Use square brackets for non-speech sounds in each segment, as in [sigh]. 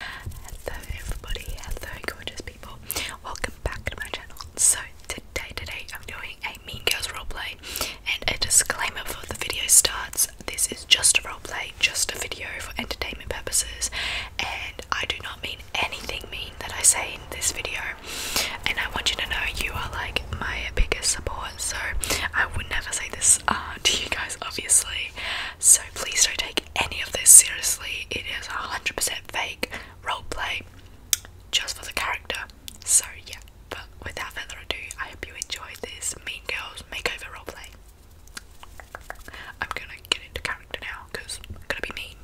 Hello everybody, hello gorgeous people. Welcome back to my channel. So today, today I'm doing a Mean Girls roleplay and a disclaimer before the video starts. This is just a roleplay, just a video for entertainment purposes and I do not mean anything mean that I say in this video and I want you to know you are like my biggest support so I would never say this uh, to you guys obviously so please don't take any of this seriously. It is 100% fake roleplay just for the character. So yeah, but without further ado, I hope you enjoy this Mean Girls makeover roleplay. I'm gonna get into character now because I'm gonna be mean.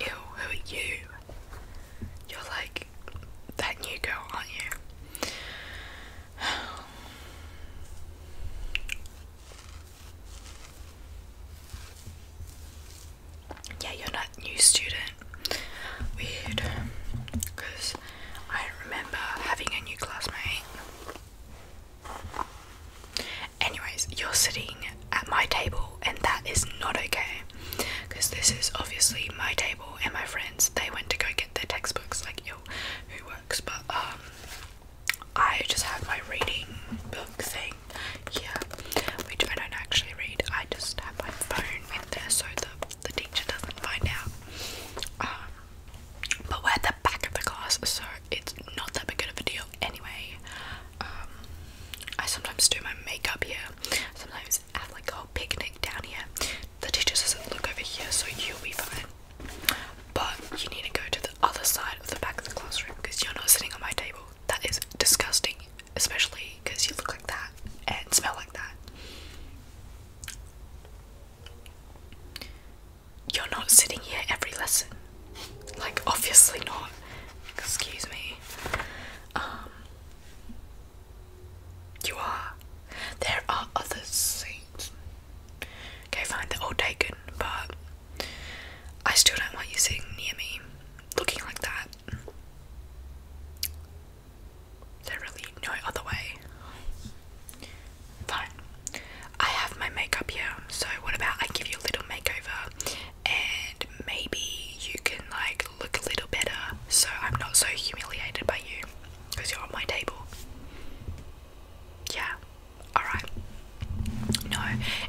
Ew, who are you? You're like that new girl, aren't you? yeah, you're not new student. Weird, because I don't remember having a new classmate. Anyways, you're sitting at my table, and that is not okay. Because this is obviously my table, and my friends they went to go get their textbooks. Like, yo, who works? But um, I just have my reading book thing. Yeah, which I don't actually read. I just have my phone so the, the teacher doesn't find out. Um, but we're at the back of the class, so it's not that big of a deal anyway. Um, I sometimes do my makeup here, sometimes have like a whole picnic down here. The teacher doesn't look over here, so you'll be fine. But you need to go to the other side of the back of the classroom because you're not sitting on my table. That is disgusting especially because you look like that and smell like that. You're not sitting here every lesson. Like, obviously not. Excuse me. Um, you are. There are other seats. Okay, fine, they're all taken, but I still don't want you sitting near me looking like that. There's really no other way. Fine. I have my makeup here, so what about I give you a little makeover and maybe you can like look a little better so I'm not so humiliated by you because you're on my table. Yeah, alright. No,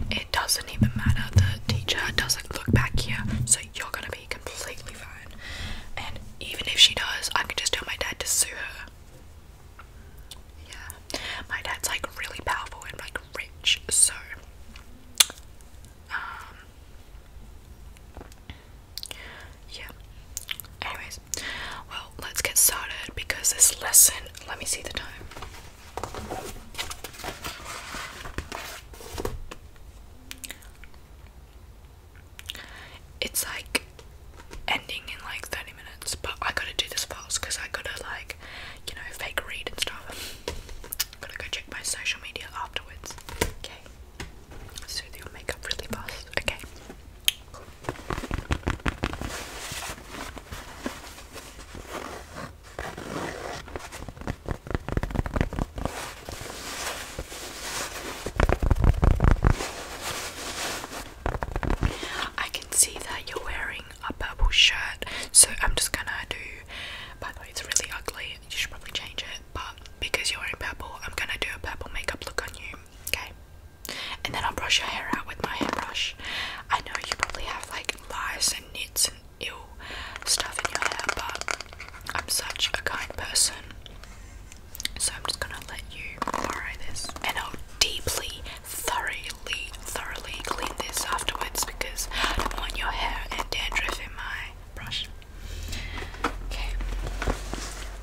it doesn't even matter. The teacher doesn't look back here, so you're gonna be completely fine. And even if she does, I can just tell my dad to sue her. Yeah. My dad's like really powerful and like rich, so um, yeah. Anyways, well, let's get started because this lesson, let me see the time. It's like ending in like 30 minutes, but I gotta do this fast because I gotta like, you know, fake read and stuff. Gotta go check my social media afterwards. Okay. let your makeup really fast. Okay. I can see that you're wearing a purple shirt, so I'm just gonna do. By the way, it's really ugly, you should probably change it, but because you're wearing purple, I'm gonna do a purple makeup look on you, okay? And then I'll brush your hair out with my hairbrush. I know you probably have like lice and nits some stuff in your hair, but I'm such a kind person. So I'm just gonna let you borrow this. And I'll deeply, thoroughly, thoroughly clean this afterwards because I don't want your hair and dandruff in my brush. Okay.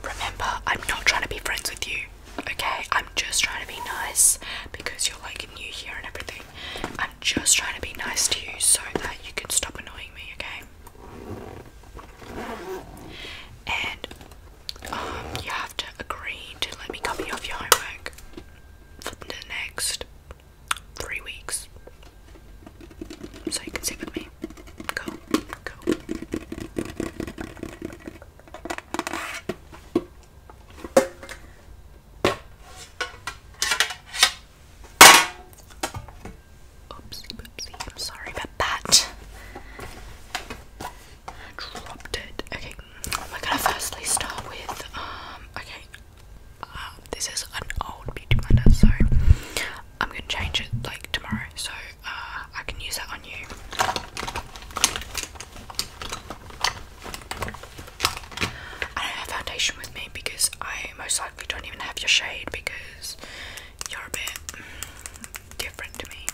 Remember, I'm not trying to be friends with you. Okay, I'm just trying to be nice because you're like new here and everything. I'm just trying to be nice to you so that you can stop annoying me, okay? and um, you have to agree to let me copy off your homework for the next three weeks so you can sit with me. Go, go. Oopsie boopsie, I'm sorry about that. Dropped it. Okay, we're gonna firstly start with, um, okay, uh, this is an old beauty blender, so I'm gonna change it like tomorrow, so uh, I can use that on you. I don't have foundation with me because I most likely don't even have your shade because you're a bit mm, different to me.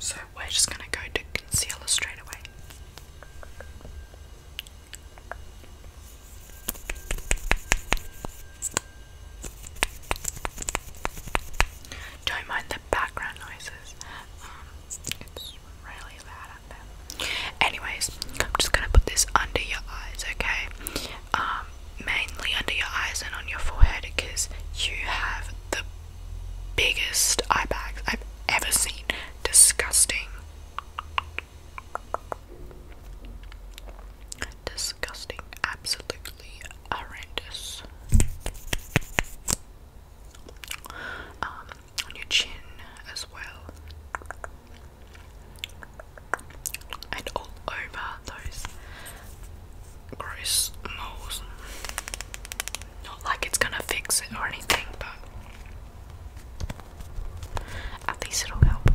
So we're just gonna go to concealer straight away. Don't mind the background noises. Um, Anyways, I'm just gonna put this under your eyes, okay? Um, mainly under your eyes and on your forehead because you have the biggest eye bags I've ever seen. Disgusting. Disgusting. Absolutely horrendous. Um, on your chin as well, and all over those gross moles. Not like it's gonna fix it or anything, but at least it'll help.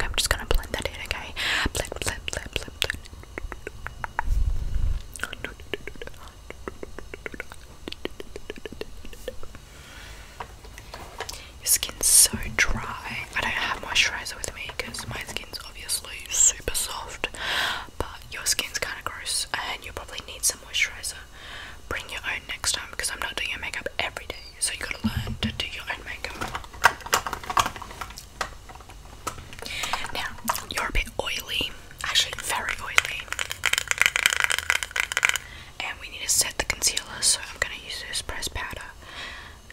I'm just gonna blend that in, okay? Blend, blend, blend, blend, blend. Your skin's so dry. I don't have moisturizer with me because my skin's obviously super soft, but your skin's kind of gross and you probably need some moisturizer. Bring your own next time because I'm not doing your makeup every day, so you gotta learn to do your own makeup. Now, you're a bit oily, actually, very oily and we need to set the concealer so I'm gonna use this pressed powder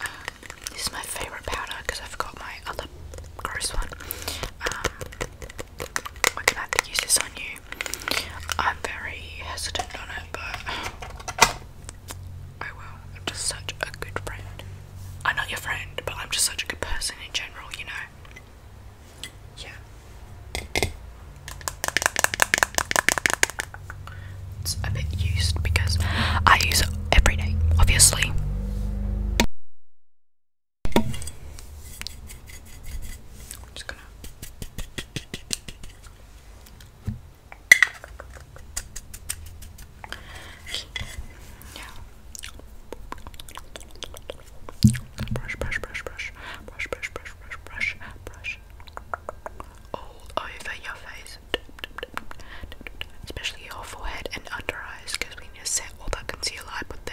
um, this is my favorite powder because I forgot my other gross one um, I'm gonna have to use this on you I'm very hesitant on it but I will I'm just such a good friend I'm not your friend but I'm just such a good person in general you know yeah it's a bit used because I use it every day, obviously. just gonna. Brush, brush, brush, brush, brush, brush, brush, brush, brush, brush, all over your face, especially your forehead and under eyes, because we need to set all that concealer I put there.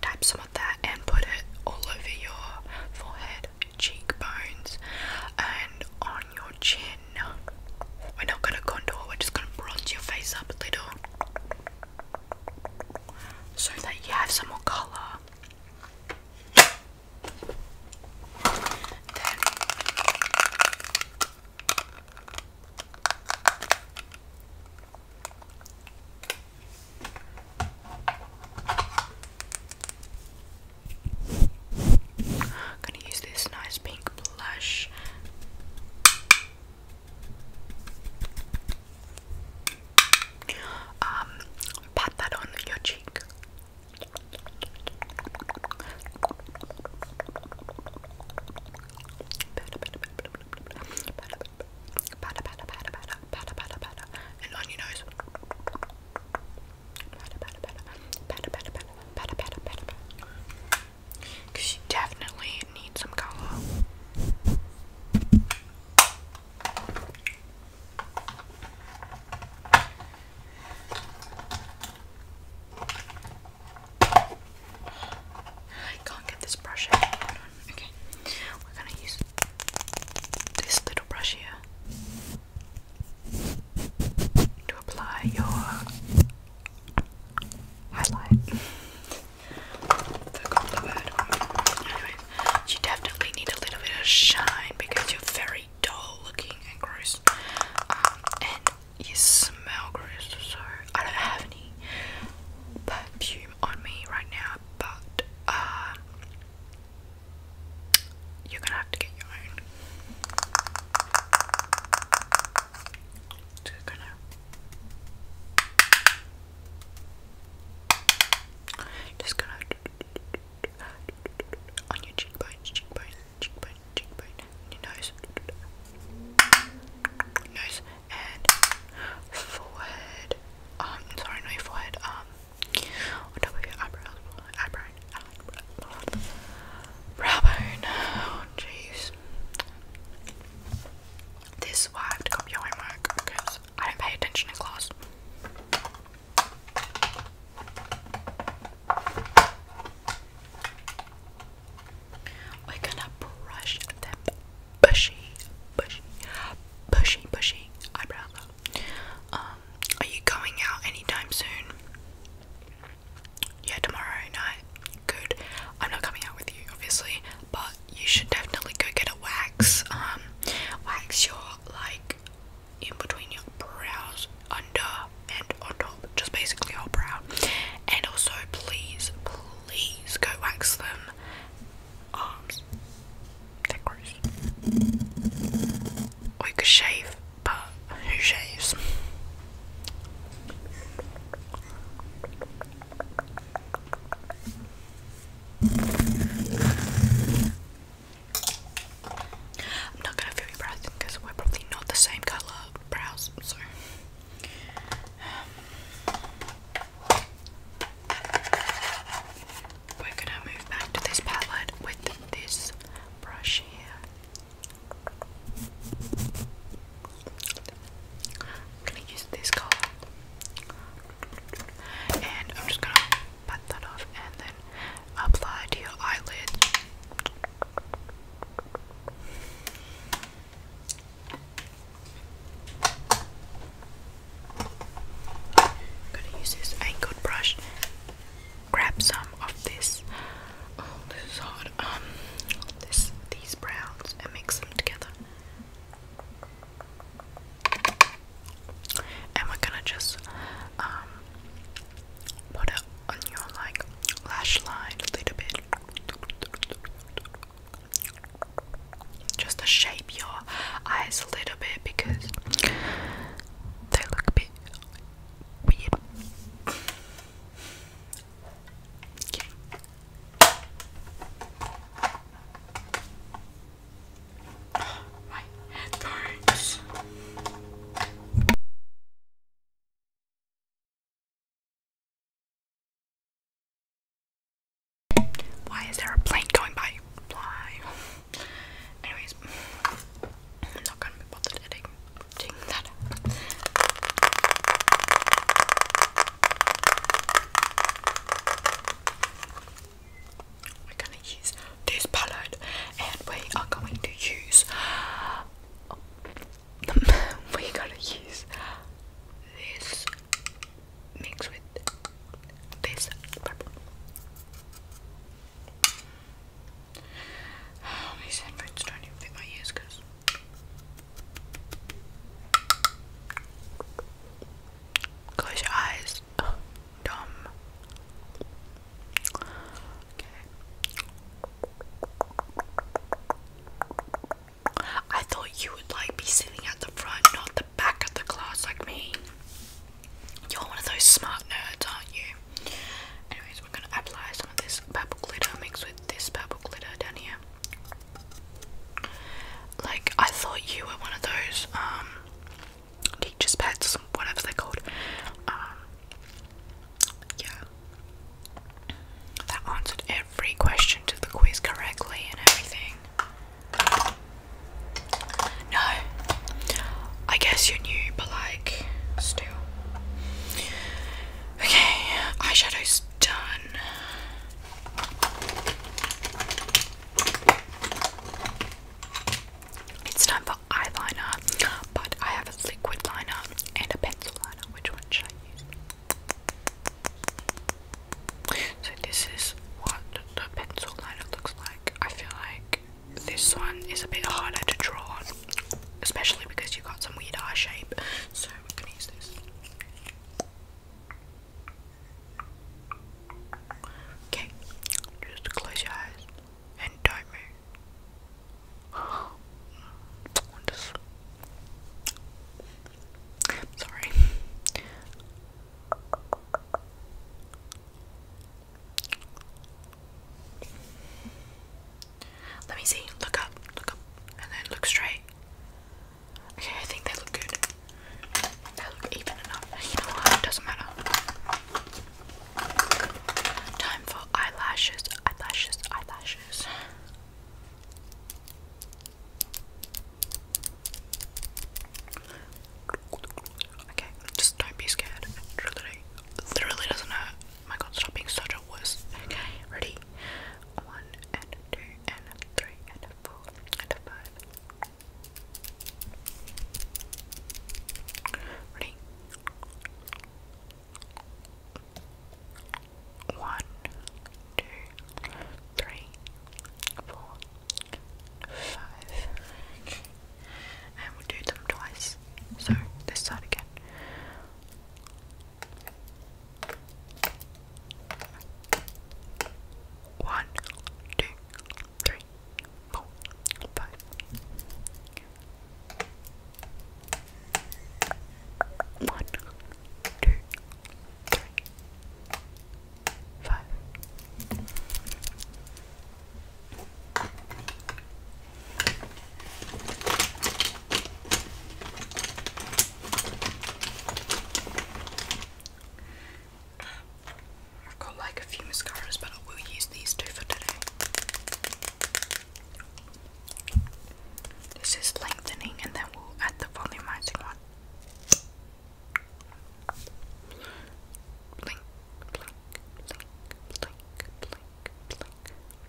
Type some of that and put it all over your forehead, cheekbones, and on your chin. We're not gonna contour, we're just gonna bronze your face up a little so that you have some more colour. I'm gonna use this nice pink blush. Um, pat that on your cheek and on your nose. Because you definitely need some color. I can't get this brush Okay. We're gonna use this little brush here to apply your highlight. Forgot the word. Anyway, you definitely need a little bit of shine because you're very dull looking and gross. Um, and you smell gross, so I don't have any perfume on me right now. But uh, you're gonna have to get your own. Just gonna, just gonna on your cheekbones, cheekbones, cheekbone, cheekbone, and your nose, nose, and forehead. Um, sorry, no forehead. Um, on top of eyebrows, eyebrow, eyebrow, brow oh, jeez. This is why I have to copy your homework because I don't pay attention in class. We're gonna brush them bushy, bushy, bushy, bushy eyebrows Um, are you going out anytime soon? Yeah, tomorrow night. Good. I'm not coming out with you, obviously, but you should definitely go get a wax. Um, wax your like in between your brows, under and on top, just basically all brown. And also, please, please go wax them arms. They're gross. Or you could shave, but who shaves? I'm not gonna feel your breath because we're probably not the same colour we're gonna move back to this palette with this brush here. I'm gonna use this color. And I'm just gonna pat that off and then apply to your eyelids. I'm gonna use this angled brush. Grab some of this. Oh, this is hard. Um, this these browns and mix them together. And we're gonna just um put it on your like lash line a little bit. Just to shape your eyes a little bit because they look a bit weird. my head burns. Why is there a plane going by? Why? Anyways, I'm not gonna be bothered editing that. We're gonna use this palette, and we are going to use [laughs] we gotta use this mix with this purple. [sighs] these headphones don't even fit my ears close your eyes. dumb. I thought you would like be sitting at the front, not the back of the class like me. You're one of those smart nerds, aren't you? Anyways, we're gonna apply some of this purple glitter mixed with this purple glitter down here. Like I thought you were one of those um, teachers' pets, whatever they're called. Um, yeah, that answered every question to the quiz correctly and everything. No, I guess you are new, but like, still. Okay, eyeshadow's done. It's time for eyeliner, but I have a liquid liner and a pencil liner. Which one should so this is what the pencil liner looks like. I feel like this one is a bit harder to draw on, especially because you got some weird eye shape. So we're gonna use this. Okay, just close your eyes and don't sorry. Let me see. Look up, look up, and then look straight. Okay, I think they look good. They look even enough. You know what? It doesn't matter. Time for eyelashes, eyelashes, eyelashes. Okay, just don't be scared. literally, literally doesn't hurt. my god, stop being such a wuss. ready? One and two and three and four and five. Ready? One, two, three, four, five. And we do them twice. So this side again. One, two, three, four, five. One, two, three, five. I've got like a few mascaras, but I will use these two for today. This is lengthening, and then we'll add the volumizing one. Blink, blink, blink, blink, blink, blink, blink, blink.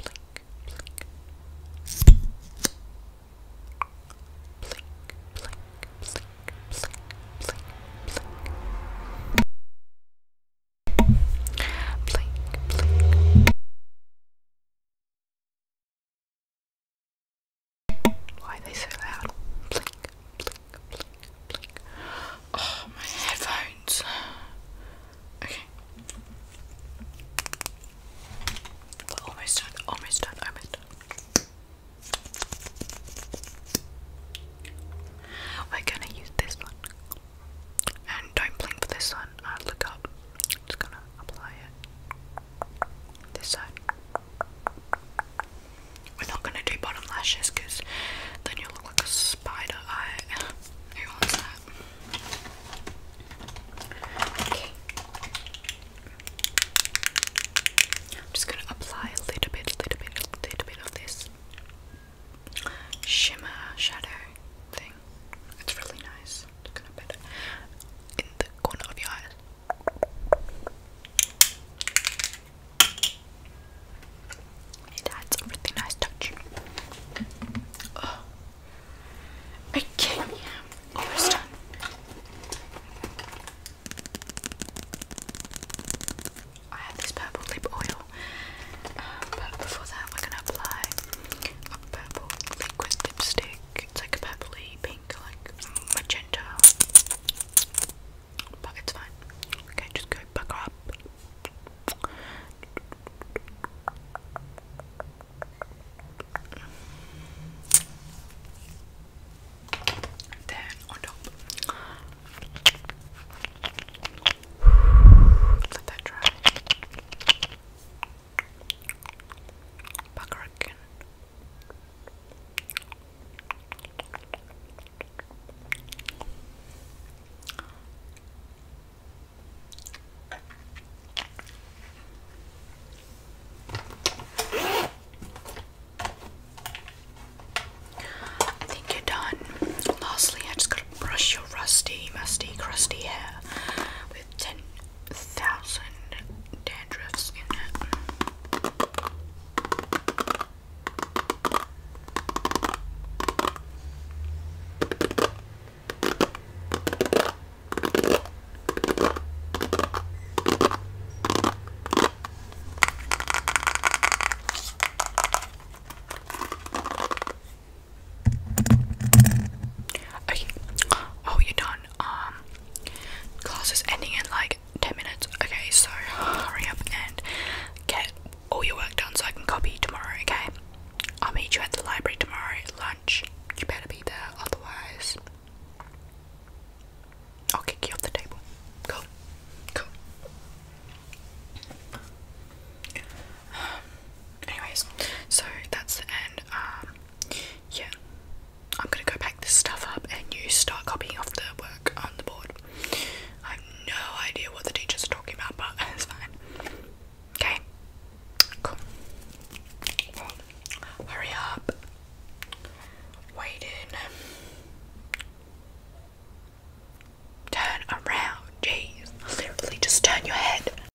Blink, blink, blink, blink, blink, blink. Why are they so loud? Oh, my headphones. Okay. We're almost done, almost done, almost done. We're gonna use this one. And don't blink for this side. Uh, look up. Just gonna apply it. This side. We're not gonna do bottom lashes because then you'll look like a spider eye. [laughs] Who wants that? Okay. I'm just gonna apply a little bit, little bit, little bit of this shimmer shadow thing thing. It's really nice. It's gonna put in the corner of your eyes. It adds a really nice touch. Oh. Okay, almost done. I have this purple lip oil, um, but before that, we're gonna apply purple liquid lipstick. It's like a purpley pink, like magenta. But it's fine. Okay, just go back up. Then on top. Let that dry. I think you're done. Lastly, I just gotta brush your rusty, musty, crusty hair with ten thousand dandruffs in it. Okay. Oh, you're done. Um, class is ending in like 10 minutes. Okay, so hurry up and get all your work done so I can copy tomorrow, okay? I'll meet you at the library tomorrow lunch. You better be there, otherwise, I'll kick you off the table. Cool. Cool. Um, anyways, so that's the end. Um, yeah, I'm gonna go pack this stuff up and you start copying off the work on the board. I have no idea what the teachers are talking about, but [laughs] it's fine. Okay, cool. Well, hurry up. Wait Turn around, jeez. Literally, just turn your head.